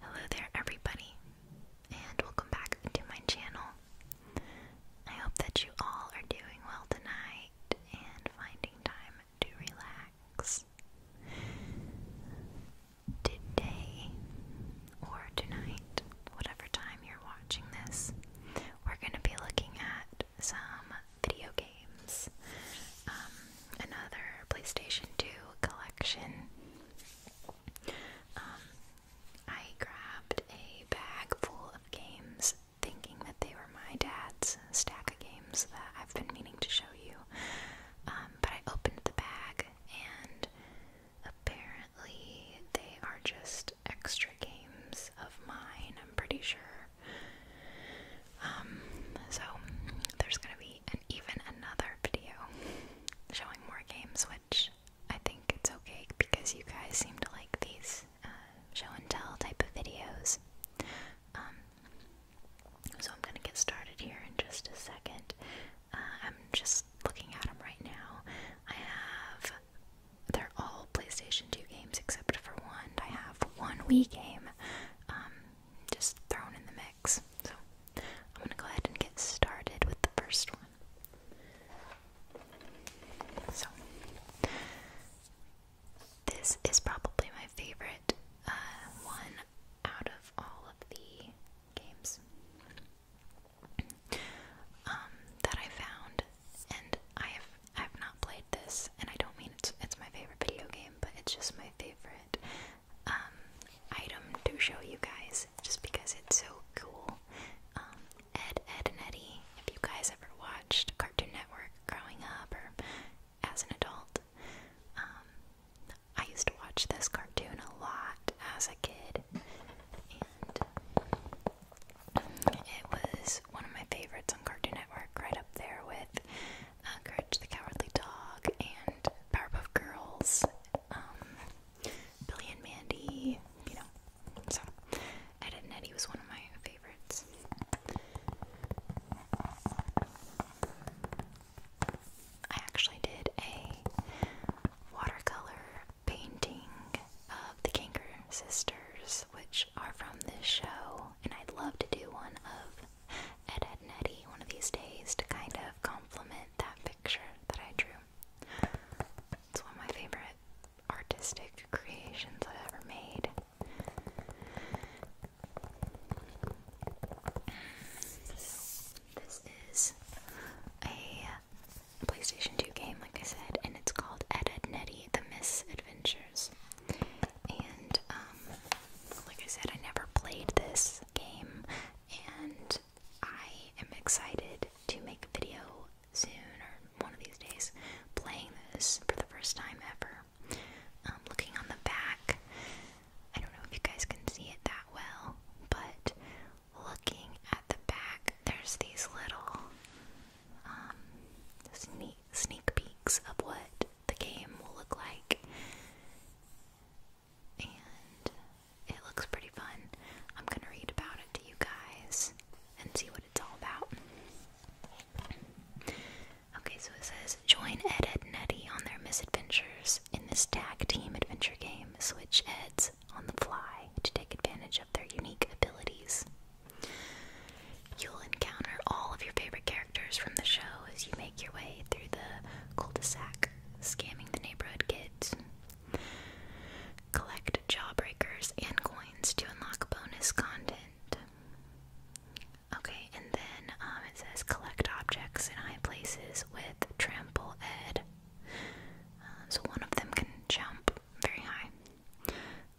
Hello there, everybody, and welcome back to my channel. I hope that you all are doing well tonight and finding time to relax. Today, or tonight, whatever time you're watching this, we're going to be looking at some video games. Um, another PlayStation 2 collection. Um, I grabbed a bag full of games thinking that they were my dad's stack of games that I've been meaning to show you. Um, but I opened the bag and apparently they are just extra games of mine, I'm pretty sure. Um, so there's gonna be an even another video showing more games, which I think it's okay because you guys seem to like these uh, show and tell type of videos. Um, so I'm gonna get started here in just a second. Uh, I'm just looking at them right now. I have they're all PlayStation 2 games except for one. I have one Wii game. Um, just thrown in the mix. So I'm gonna go ahead and get started with the first one. So, this is probably my favorite uh, one out of all of the games um, that I found, and I have I have not played this, and I don't mean it's it's my favorite video game, but it's just my favorite um, item to show you guys just because it's so cool. Um, Ed, Ed, and if you guys ever watched Cartoon Network growing up or as an adult, um, I used to watch this cartoon a lot as a kid, and it was one of my favorites on Cartoon Network, right up there with uh, Courage the Cowardly Dog, and Powerpuff Girls, um, Billy and Mandy, you know. So, Ed and Eddie was one of my favorites. I actually did a watercolor painting of the Kanker sisters, which are from this show, and I'd love to do one of Ed, Ed, and one of these days to kind of complement that picture that I drew. It's one of my favorite artistic creations I've ever made. this is a PlayStation 2 game, like I said, and it's called Ed, Ed, and Eddie The Misadventures and um, like I said, I never played this game, and I am excited to make a video soon or one of these days playing this for the first time ever. Um, looking on the back, I don't know if you guys can see it that well, but looking at the back, there's these little um, sneak, sneak peeks of what the game will look like and it looks pretty fun. I'm gonna read about it to you guys and see what it's all about. Okay, so it says join Ed, and Eddie on their misadventures in this tag team adventure game. Switch Eds on the fly to take advantage of their unique abilities. You'll encounter all of your favorite characters from the show as you make your way through the cul-de-sac, scamming the neighborhood kids. Collect jawbreakers and coins to unlock bonus content. Okay, and then um, it says collect objects in high places with trample ed. Um, so one of them can jump very high.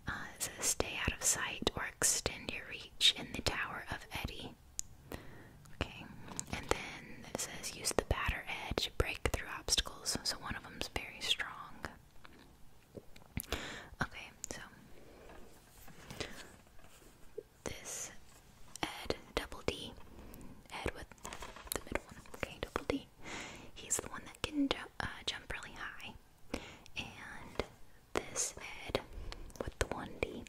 Uh, it says stay out of sight or extend your reach in the Tower of Eddie. Okay, and then it says use the batter edge, break through obstacles. So one of them's very strong. Okay, so this Ed double D, Ed with the middle one. Okay, double D. He's the one that can uh, jump really high, and this head with the 1D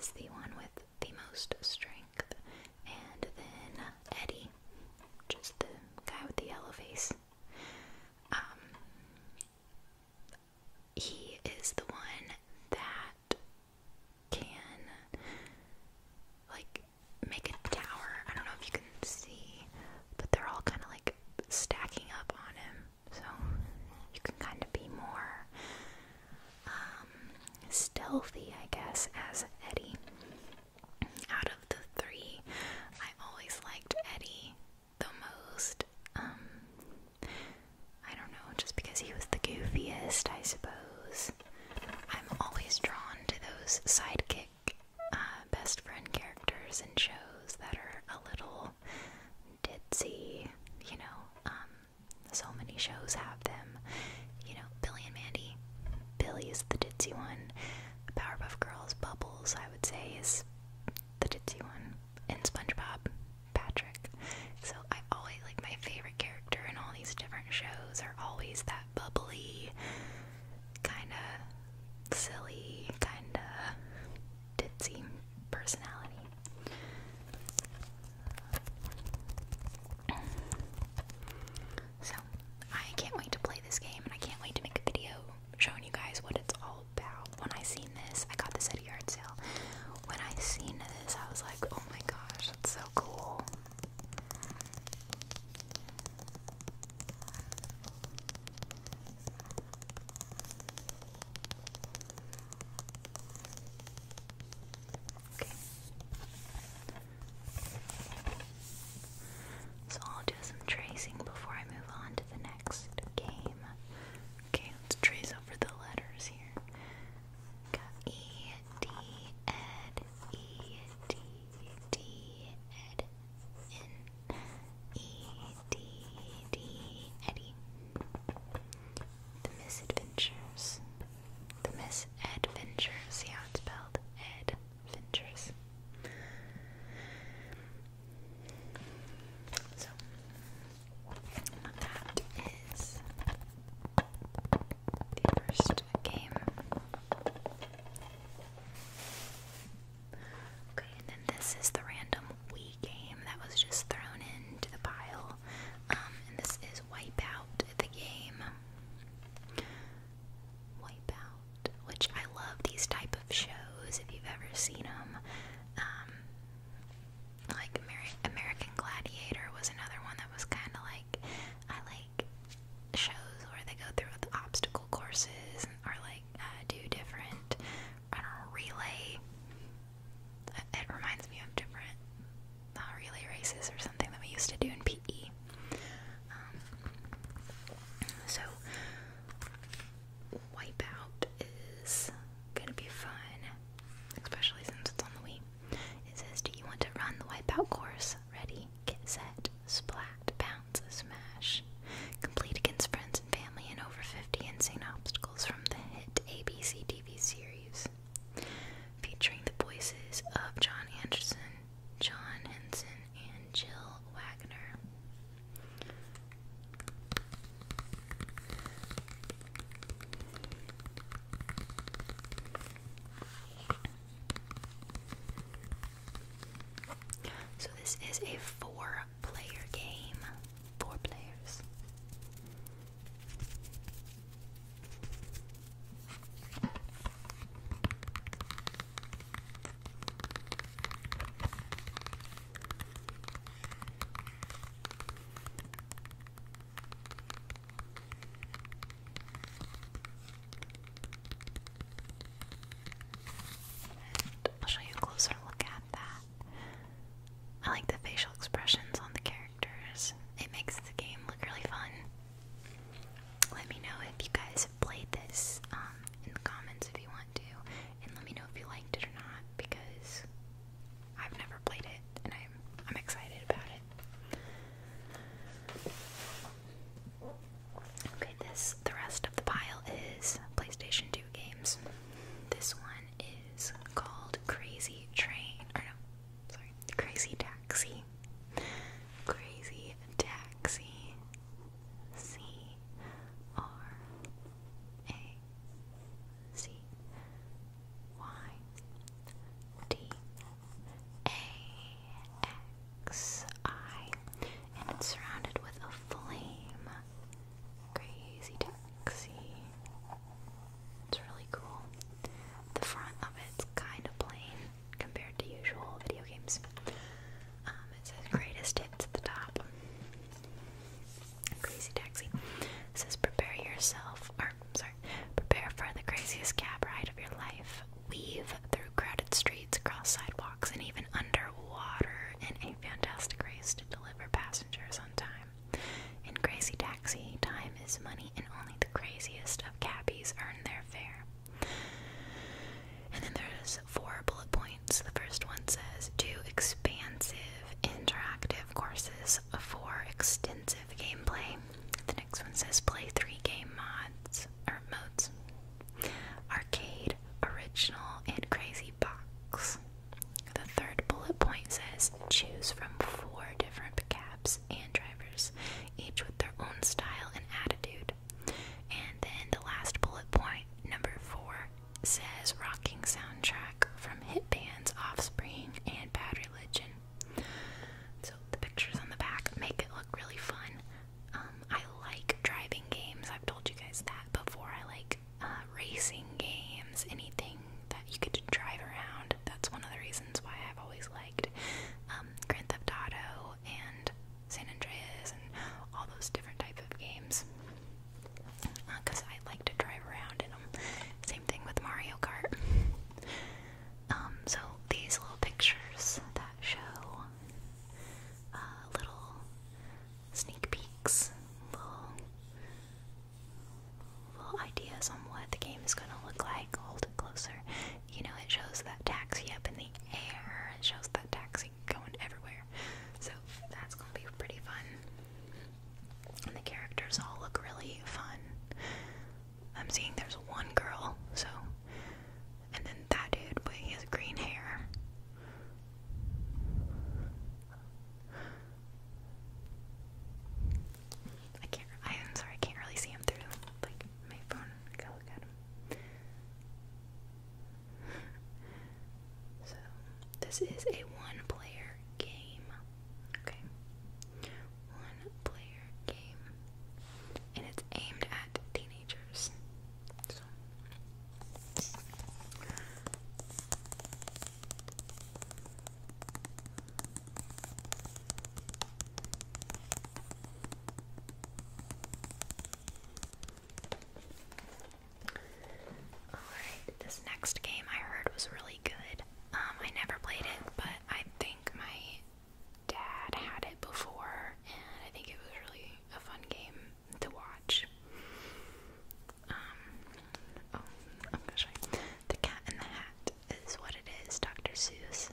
is the one with the most strength, and then Eddie, just the guy with the yellow face. Um, he is the one that can like make a tower. I don't know if you can see, but they're all kind of like stacking up on him so you can kind of be more um, stealthy, I guess, as Eddie. Out of the three, I always liked Eddie the most. Um, I don't know, just because he was the goofiest, I suppose. I'm always drawn to those sidekick uh, best friend characters in shows that are a little ditzy, you know, um, so many shows have them. You know, Billy and Mandy. Billy is the ditzy one. Powerpuff Girls, Bubbles, I would say, is the ditzy one. And SpongeBob, Patrick. So I always like my favorite character in all these different shows are always that bubbly, kind of silly, kind of ditzy personality. So, I can't wait to play this game and I can't wait to make a video showing you guys what it's all about. When I seen this, I got this at a yard sale. When I seen this, I was like, oh my gosh, it's so cool. So I'll do some tracing before I move on to the next game. Okay, let's trace over the letters here. Got E, D, Eddie. The Misadventures. The Misadventures. See how it's spelled? Adventures. So, that is the first game. Okay, and then this is the random Wii game that was just thrown into the pile. Um, and this is Wipeout, the game. Wipeout, which I love these type of shows if you've ever seen them. Um, like American Gladiator was another one that was kind of like I like shows where they go through obstacle courses or like uh, do different I don't know relay it reminds me of different uh, relay races or something that we used to do in PE. Um, so, Wipeout is gonna be fun, especially since it's on the Wii. It says, Do you want to run the Wipeout course? Ready, get set, splat, bounce, smash. Complete against friends and family and over 50 insane obstacles from the hit ABC TV series featuring the voices of John Anderson, John Henson, and Jill Wagner. So, this is a four player game. Four players. I'll show you a closer look at that. I like the facial expressions on the characters. It makes the game look really fun. Let me know if you guys have played this um, in the comments if you want to, and let me know if you liked it or not because I've never played it and I'm I'm excited about it. Okay, this the rest of the pile is PlayStation 2 games. This one is called Crazy Train. Or no, sorry, Crazy Taxi. Crazy Taxi. C R A C Y D A X I. And it's surrounded with a flame. Crazy Taxi. It's really cool. The front of it's kind of plain compared to usual video games. Um, it says greatest hits at the top. Crazy Taxi. It says prepare yourself, or sorry, prepare for the craziest cab ride of your life. Weave through crowded streets, across sidewalks, and even underwater in a fantastic race to deliver passengers on time. In Crazy Taxi, time is money, and only the craziest of cabbies earn their fare. And then there's four bullet points. The first one says do expansive interactive courses for extensive gameplay. The next one says play three game mods or modes. Arcade, original, and crazy box. The third bullet point says choose from four different cabs and drivers, each with their own style and attitude. And then the last bullet point, number four, says rocking soundtrack from hit bands Offspring and Bad Religion. So the pictures on the back make it look really fun. Um, I like driving games. I've told you guys that before. I like uh, racing games, anything that you could drive around. That's one of the reasons why I've always liked um, Grand Theft Auto and San Andreas and all those different type of games because uh, I like to drive around in them. Same thing with Mario Kart. Um, so these little pictures that show uh, little sneak peeks, little full ideas on what the game is going to look like. Hold it closer. You know, it shows that taxi up in the air. It shows that taxi going everywhere. So that's going to be pretty fun. And the characters all look really fun. I'm seeing there's one girl, so. And then that dude, but he has green hair. I can't. I'm sorry, I can't really see him through like my phone. I look at him. so this is a one-player game. Okay, one-player game, and it's aimed at teenagers. Alright, this next game I heard was really good. Um, I never played it, but I think my dad had it before, and I think it was really a fun game to watch. Um, oh, I'm gonna show you. The Cat in the Hat is what it is, Dr. Seuss,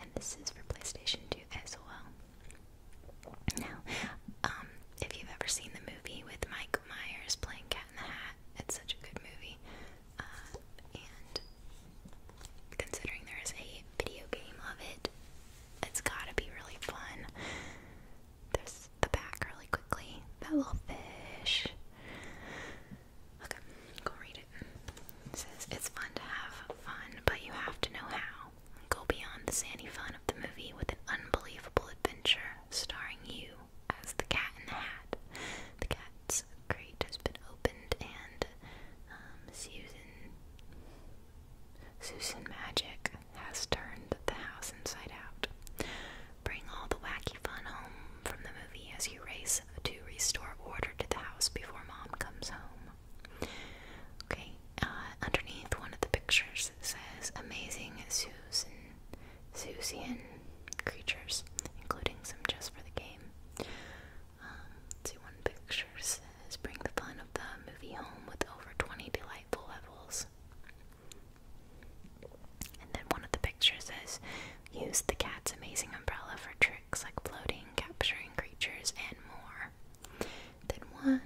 and this is for PlayStation 2 as well. Now, um, if you've ever seen the movie with Michael Myers playing Cat in the Hat, it's such a good movie. Uh, and considering there is a video game of it, it's gotta be really fun. There's the back really quickly. That little fish. Look, go read it. says, It's fun to have fun, but you have to know how. Go beyond the sandy fun of the movie with an unbelievable adventure starring you as the cat in the hat. The cat's crate has been opened, and um, Susan, Susan Magic has turned the house inside out. Bring all the wacky fun home from the movie as you race to restore order to the house before mom comes home. Okay, uh, underneath one of the pictures says amazing Susan, Susian creatures, including some just for the game. Um, one picture says bring the fun of the movie home with over 20 delightful levels. And then one of the pictures says, use the cat's amazing umbrella for tricks like floating, capturing creatures, and more. Then one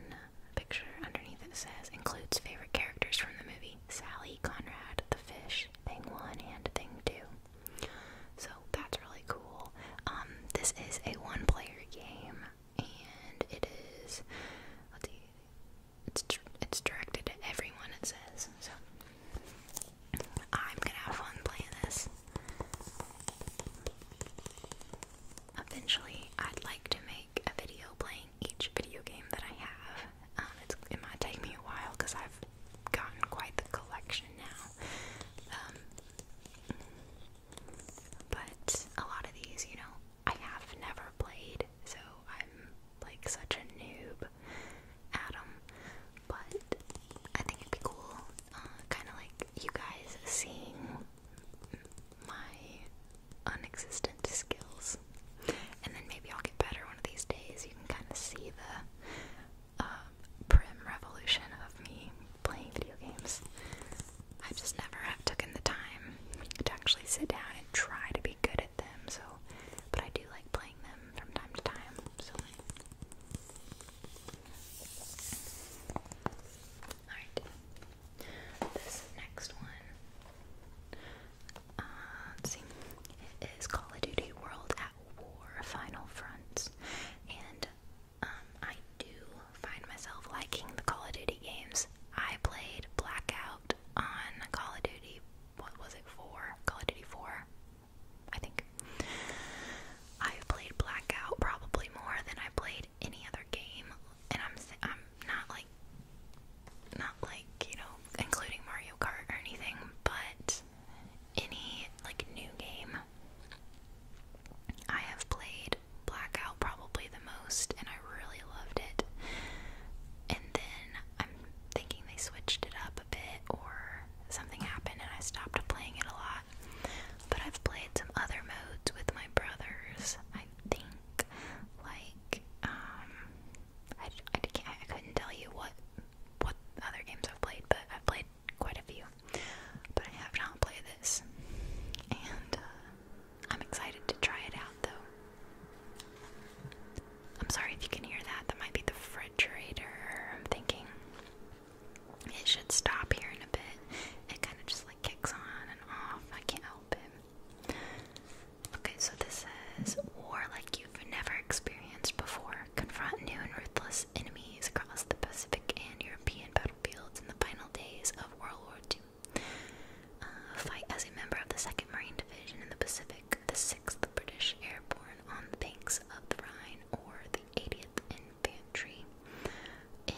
picture underneath it says includes favorite characters from the movie Sally, Conrad, the fish, Thing One, and Thing Two. So that's really cool. Um, this is a one-player game, and it is let's see, it's it's directed to everyone. It says so. I'm gonna have fun playing this. Eventually, I'd like to make a video playing each video game that I have. Um, it might take me a while because I've gotten quite the collection now. Um, but a lot of these, you know, I have never played, so I'm like such a noob Adam, but I think it'd be cool, uh, kind of like you guys seeing my unexistent skills, and then maybe I'll get better one of these days. You can kind of see the uh, prim revolution of me playing video games. I just never have taken the time to actually sit down and try to be good them, so but I do like playing them from time to time, so Alright. This next one uh, Call of Duty World at War Final Fronts. And um, I do find myself liking the Call of Duty games. I played Blackout on Call of Duty, what was it, 4? Call of Duty 4? I think. I've played Blackout probably more than I played any other game, and I'm I'm not like not like you know including Mario Kart or anything, but any like new game. I have played Blackout probably the most, and I really loved it. And then I'm thinking they switched it up or something happened and I stopped playing it a lot. But I've played some other modes with my brothers, I think. Like, um, I, I, can't, I couldn't tell you what, what other games I've played, but I've played quite a few. But I have not played this. And uh, I'm excited to try it out though. I'm sorry if you can hear that. That might be the refrigerator. I'm thinking it should stop here in a bit. It kind of just like kicks on and off. I can't help it. Okay, so this says war like you've never experienced before. Confront new and ruthless enemies across the Pacific and European battlefields in the final days of World War II. Uh, fight as a member of the 2nd Marine Division in the Pacific the 6th British Airborne on the banks of the Rhine or the 80th Infantry in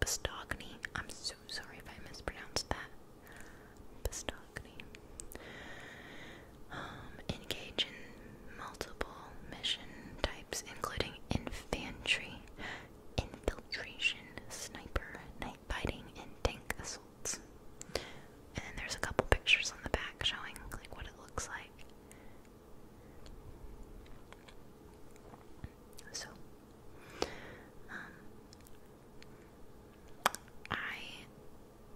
Bastogny. I'm so sorry if I mispronounced that. Bastogny. Um, engage in multiple mission types, including infantry, infiltration, sniper, night fighting, and tank assault. And then there's a couple pictures on the back showing like what it looks like. So, um, I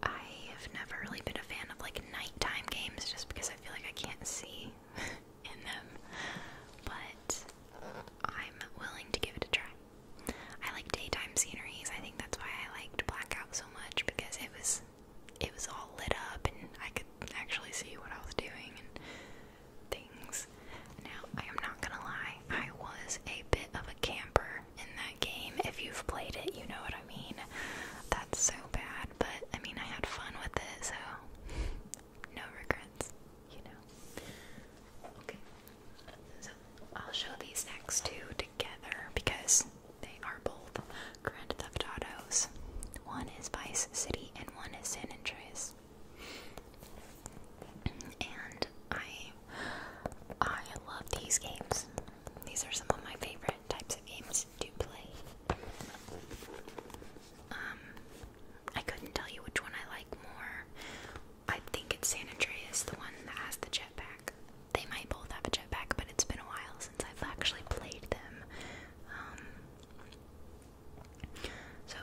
I have never really been a fan of like nighttime games just because I feel like I can't see in them, but I'm willing to give it a try. I like daytime sceneries. I think that's why I liked Blackout so much because it was it was all lit up and I could actually see what I was doing and things. Now, I am not gonna lie, I was a bit of a camper in that game. If you've played it, you know what I mean. That's so bad, but I mean, I had fun with it, so no regrets, you know. Okay. So I'll show these next two together because they are both Grand Theft Autos. One is Vice City and one is San Andreas. And I I love these games. These are some of my favorite types of games to play. Um I couldn't tell you which one I like more I think it's San Andreas, the one that has the jetpack. They might both have a jetpack, but it's been a while since I've actually played them. Um, so,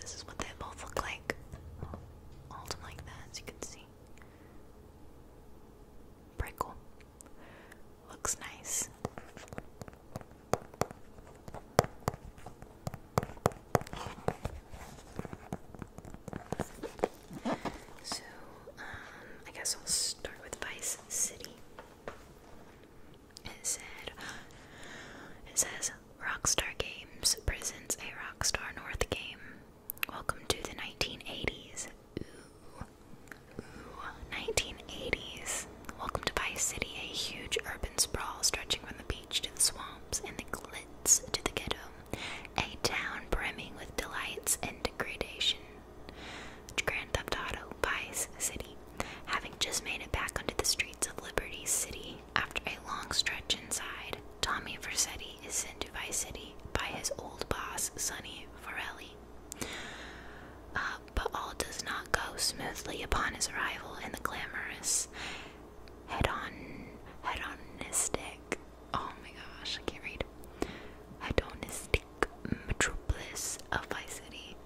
this is what they both look like. Hold like that, as you can see. Pretty cool. Looks nice. So, um, I guess I'll start with Vice City. It it says, Rockstar Games presents a Rockstar North game. Welcome to the 1980s. Ooh. Ooh, 1980s. Welcome to Vice City, a huge urban sprawl stretching from the beach to the swamps and the glitz to the ghetto a town brimming with delights and degradation. Grand Theft Auto Vice City, having just made it back onto the streets of Liberty City after a long stretch inside, Tommy Vercetti is sent to Vice City by his old boss Sonny Forelli. Uh, but all does not go smoothly upon his arrival in the glamorous hedon hedonistic. Oh my gosh, I can't read. Hedonistic metropolis of Vice City.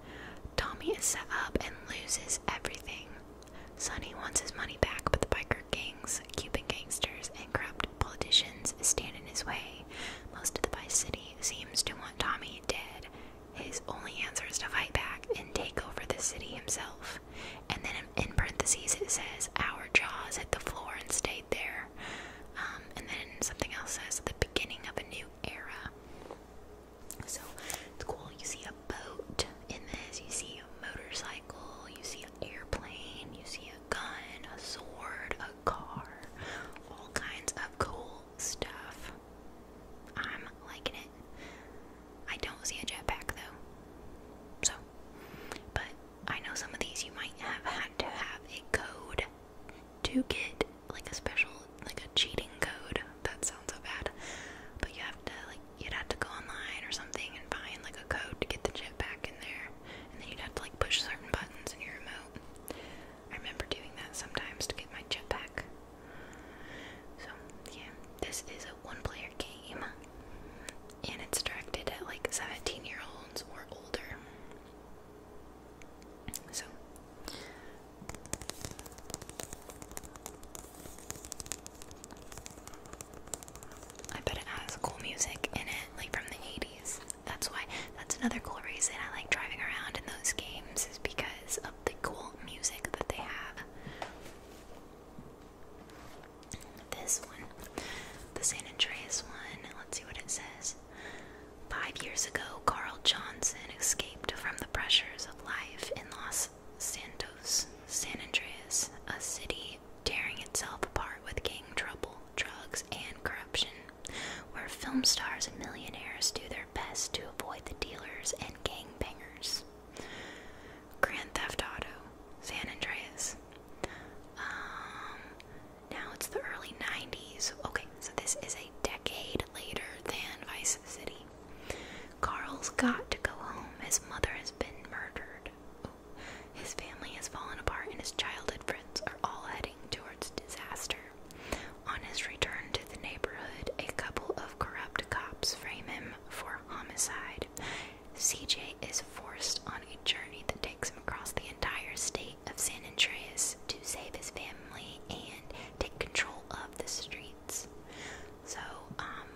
Tommy is set up and loses everything. Sonny wants his money back, but the biker gangs, Cuban gangsters, and corrupt politicians stand in his way. Most of the Vice City seems to want Tommy dead. His only answer is to fight back and take over the city himself. And then in parentheses it says our jaws hit the floor and stayed there. Um, and then something else says the beginning of a new era. So it's cool. You see a boat in this, you see a motorcycle, you see an airplane, you see a gun, a sword, a car, all kinds of cool stuff. I'm liking it. I don't see a jetpack though. So, but I know some of these you might have had to have a code to get like a special like a cheating code. That sounds so bad. But you have to like you'd have to go online or something and find like a code to get the chip back in there. And then you'd have to like push certain buttons in your remote. I remember doing that sometimes to get my chip back. So yeah, this is a one player game and it's directed at like 17 year olds or older. So, I bet it has cool music in it, like from the 80s. That's why, that's another cool reason I like driving around in those games, is because of the cool music that they have. This one, the San Andreas one, let's see what it says. Five years ago, Carl Johnson escaped from the pressures of life in Los Santos, San Andreas, a city tearing itself apart with gang trouble, drugs, and corruption, where film stars and millionaires do their best to avoid the dealers and gangbangers. Grand Theft Auto, San Andreas. Um, now it's the early 90s. Okay, so this is a decade later than Vice City. Carl's got to go home. His mother has been murdered. his family has fallen apart, and his childhood friends are all heading towards disaster. On his return to the neighborhood, a couple of corrupt cops frame him for homicide CJ is forced on a journey that takes him across the entire state of San Andreas to save his family and take control of the streets. So, um,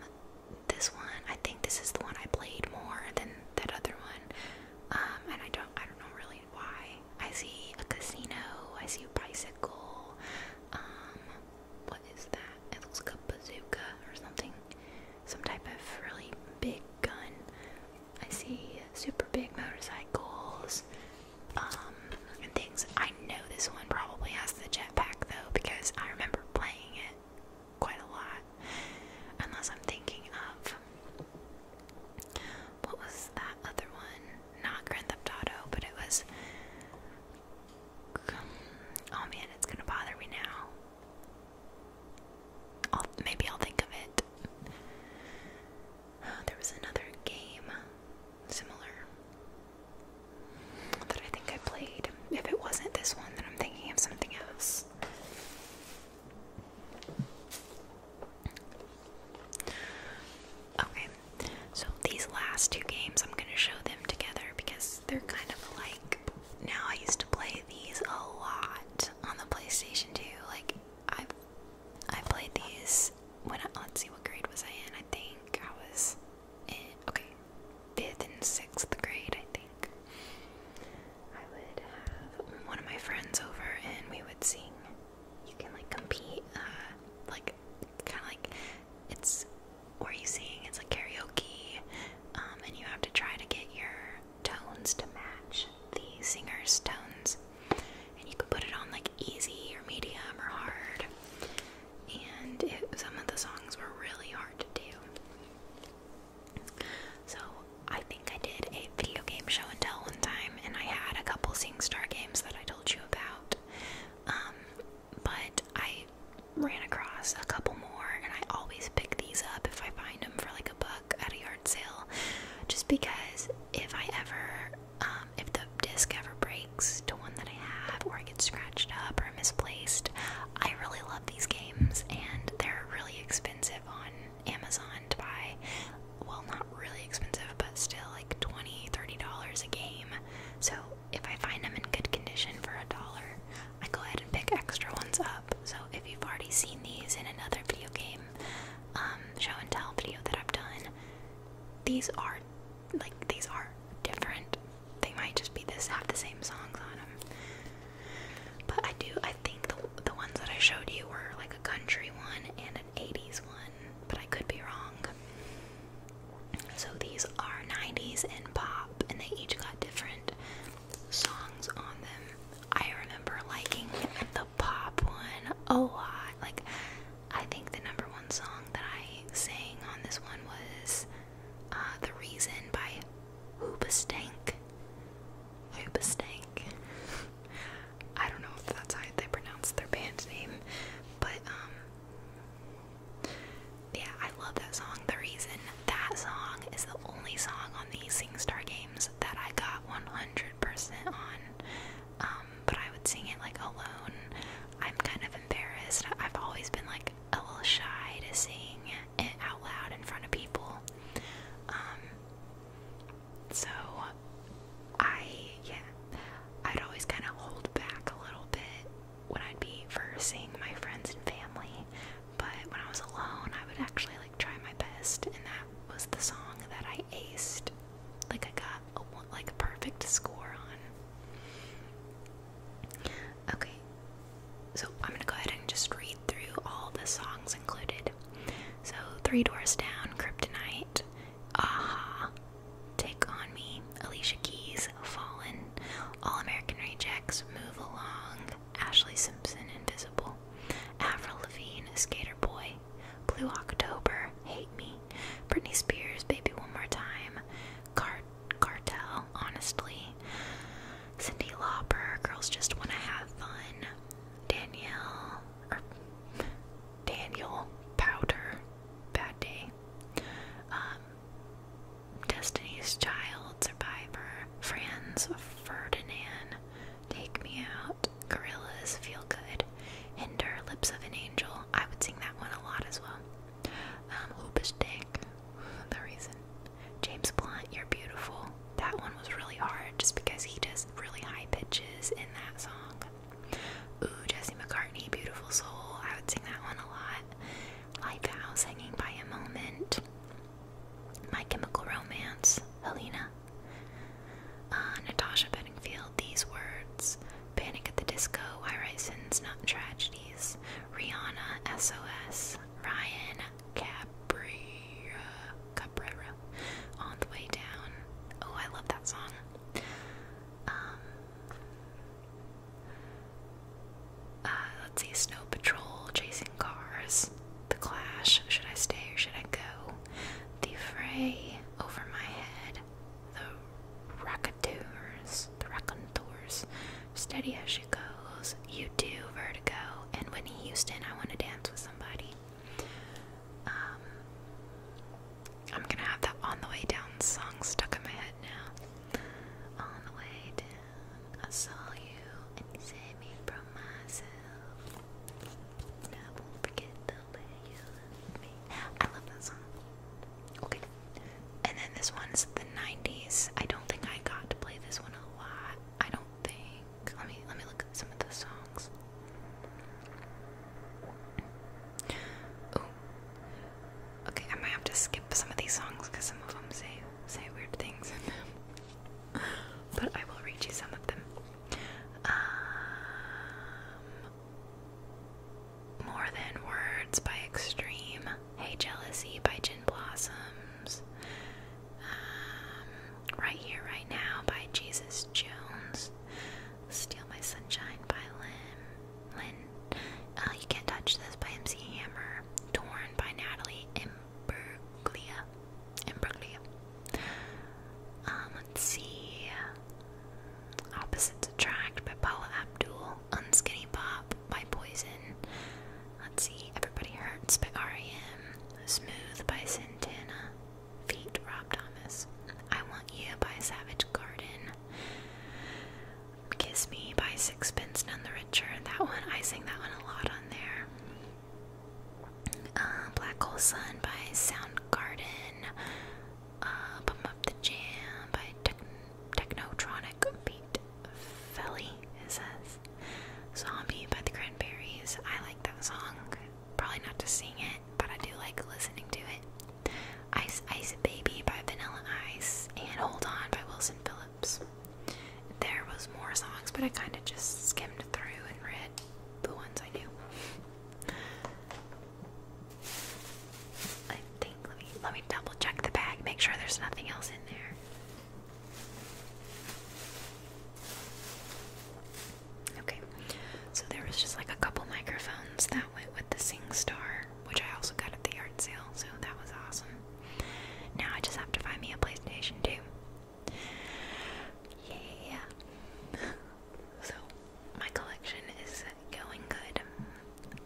this one, I think this is the one I played more than that other one. Um, and I don't, I don't know really why. I see a casino, I see a bicycle, um, what is that? It looks like a bazooka or something some type of really big gun. I see super big motorcycles um, and things. I know this one probably has the jetpack though because I remember playing it quite a lot. Unless I'm thinking of what was that other one? Not Grand Theft Auto, but it was. Oh man, it's gonna bother me now maybe I'll think of it. there was another game similar that I think I played. If it wasn't this one, then I'm thinking of something else. Okay, so these last two games, I'm going to show them together because they're kind of alike now I used to play these a lot on the PlayStation 2. Like I I played these when I, let's see what grade was I in? I think I was in okay, 5th and 6th grade, I think. I would have one of my friends over and we would sing. You can like compete uh like kind of like it's where you sing, it's like karaoke, um, and you have to try to get your tones to match the singer's tones. And you can put it on like easy or medium or hard. And it, some of the songs were really hard to do. So I think I did a video game show and tell one time, and I had a couple SingStar games that I told you about. Um, but I ran across a couple more, and I always pick these up if I find them for like a buck at a yard sale, just because if I ever, um, if the disc ever breaks to one that I have, or I get scratched up or misplaced, I really love these games, and they're really expensive on Amazon to buy. Well, not really expensive, but still like $20, $30 a game. So if I find them in good condition for a dollar, I go ahead and pick extra ones up. So if you've already seen these in another video game, um, show and tell video that I've done, these are like these are different. They might just be this have the same songs on them. But I do I think the the ones that I showed you were like a country one and an 80s one, but I could be wrong. So these are 90s and pop and they each got different songs on them. I remember liking the pop one a lot. Like, I think the number one song that I sang on this one was uh, The Reason by Hoobastank. Hoobastank. I don't know if that's how they pronounce their band name, but, um, yeah, I love that song, The Reason that song is the only song on the SingStar games that I got 100% on. Um, but I would sing it like alone. I'm kind of embarrassed. I've always been like a little shy to sing it out loud in front of people. Um, so I, yeah, I'd always kind of hold back a little bit when I'd be versing my friends and family. But when I was alone, I would actually like try my best, and that was the song that I aced. Like I got a, like a perfect score on. Okay, so I'm gonna go ahead and just read through all the songs included. So Three Doors Down, Kryptonite, Aha, Take on Me, Alicia Keys, Fallen, All American Rejects, Move Along, Ashley Simpson, Invisible, Avril Lavigne, Skater Boy, Blue October, Hate Me, Britney Spears, Baby One More Time, Cartel, Honestly, Cindy Lauper, Girls Just Wanna Have Fun, Danielle, or er, Daniel Powder, Bad Day, um, Destiny's Child, Survivor, Franz Ferdinand, Take Me Out, Gorillas, Feel Good, Hinder, Lips of an Angel. I would sing that one a lot as well. Um, Hoopish Dick, the reason. James Blunt, You're Beautiful. That one was really hard just because he does really high pitches in that song. Ooh, Jesse McCartney, Beautiful Soul. I would sing that one a lot. Lifehouse, Hanging by a Moment. My Chemical Romance, Helena. Uh, Natasha Bedingfield, These Words, Panic at the Disco, I write Sins, Not Tragedies, Rihanna, SOS, Ryan, Cabrera, On the Way Down. Oh, I love that song. Um, uh, let's see, Snow Patrol, Chasing Cars, the clash, should I stay or should I go? The fray over my head, the raconteurs, the raconteurs, steady as she goes, you do, vertigo, and Whitney Houston, I want to dance with somebody. Um, I'm gonna have that on the way down song stuck in my head now. On the way down. I saw you and you saved me from myself. I won't forget the way you loved me. I love that song. Okay. And then this one's the 90s. I don't think I got to play this one a lot. I don't think. Let me let me look at some of the songs. Oh. Okay, I might have to skip some of these songs because some of them say say weird things but I will read you some of them. Um, more Than Words by Extreme. Hey Jealousy by Gin Blossoms. Um, right Here, Right Now by Jesus Jones. Steal My Sunshine by Lynn. Lynn. Uh, you Can't Touch This by MC Hammer. Torn by Natalie M. Imbruglia. Imbruglia. Um, let's see. Opposites Attract by Paula Abdul. Unskinny Pop by Poison. Let's see. Everybody Hurts by R.E.M. Smooth by Santana. Feet Rob Thomas. I Want You by Savage Garden. Kiss Me by Sixpence None the Richer. That one, I sing that one a lot on there. Uh, Black Hole Sun by Soundgarden, uh, Up the Jam by Techn Technotronic Beat Felly, it says. Zombie by the Cranberries. I like that song. Probably not to sing it, but I do like listening to it. Ice Ice Baby by Vanilla Ice and Hold On by Wilson Phillips. There was more songs, but I kind of just skimmed through and read the ones I knew. I think let me let me double check the bag, make sure there's nothing else in there. Okay, so there was just like a couple microphones that went with the SingStar, which I also got at the yard sale, so that was awesome. Now I just have to find me a PlayStation 2. Yeah. So my collection is going good.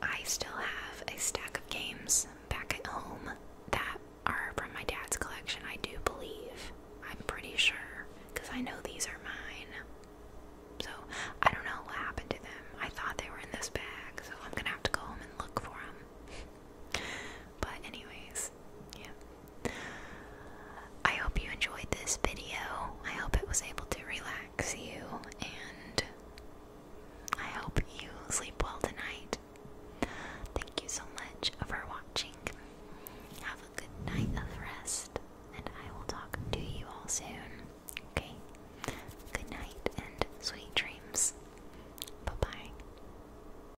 I still have a stack of games back at home that are from my dad's collection, I do believe. I'm pretty sure because I know these are mine. So I don't know what happened to them. I thought they were in this bag, so I'm gonna have to go home and look for them. But anyways, yeah. I hope you enjoyed this video. I hope it was able to relax you and I hope you sleep well tonight. Thank you so much for watching. Have a good night of rest and I will talk to you all soon. Okay? Good night and sweet dreams. Bye-bye.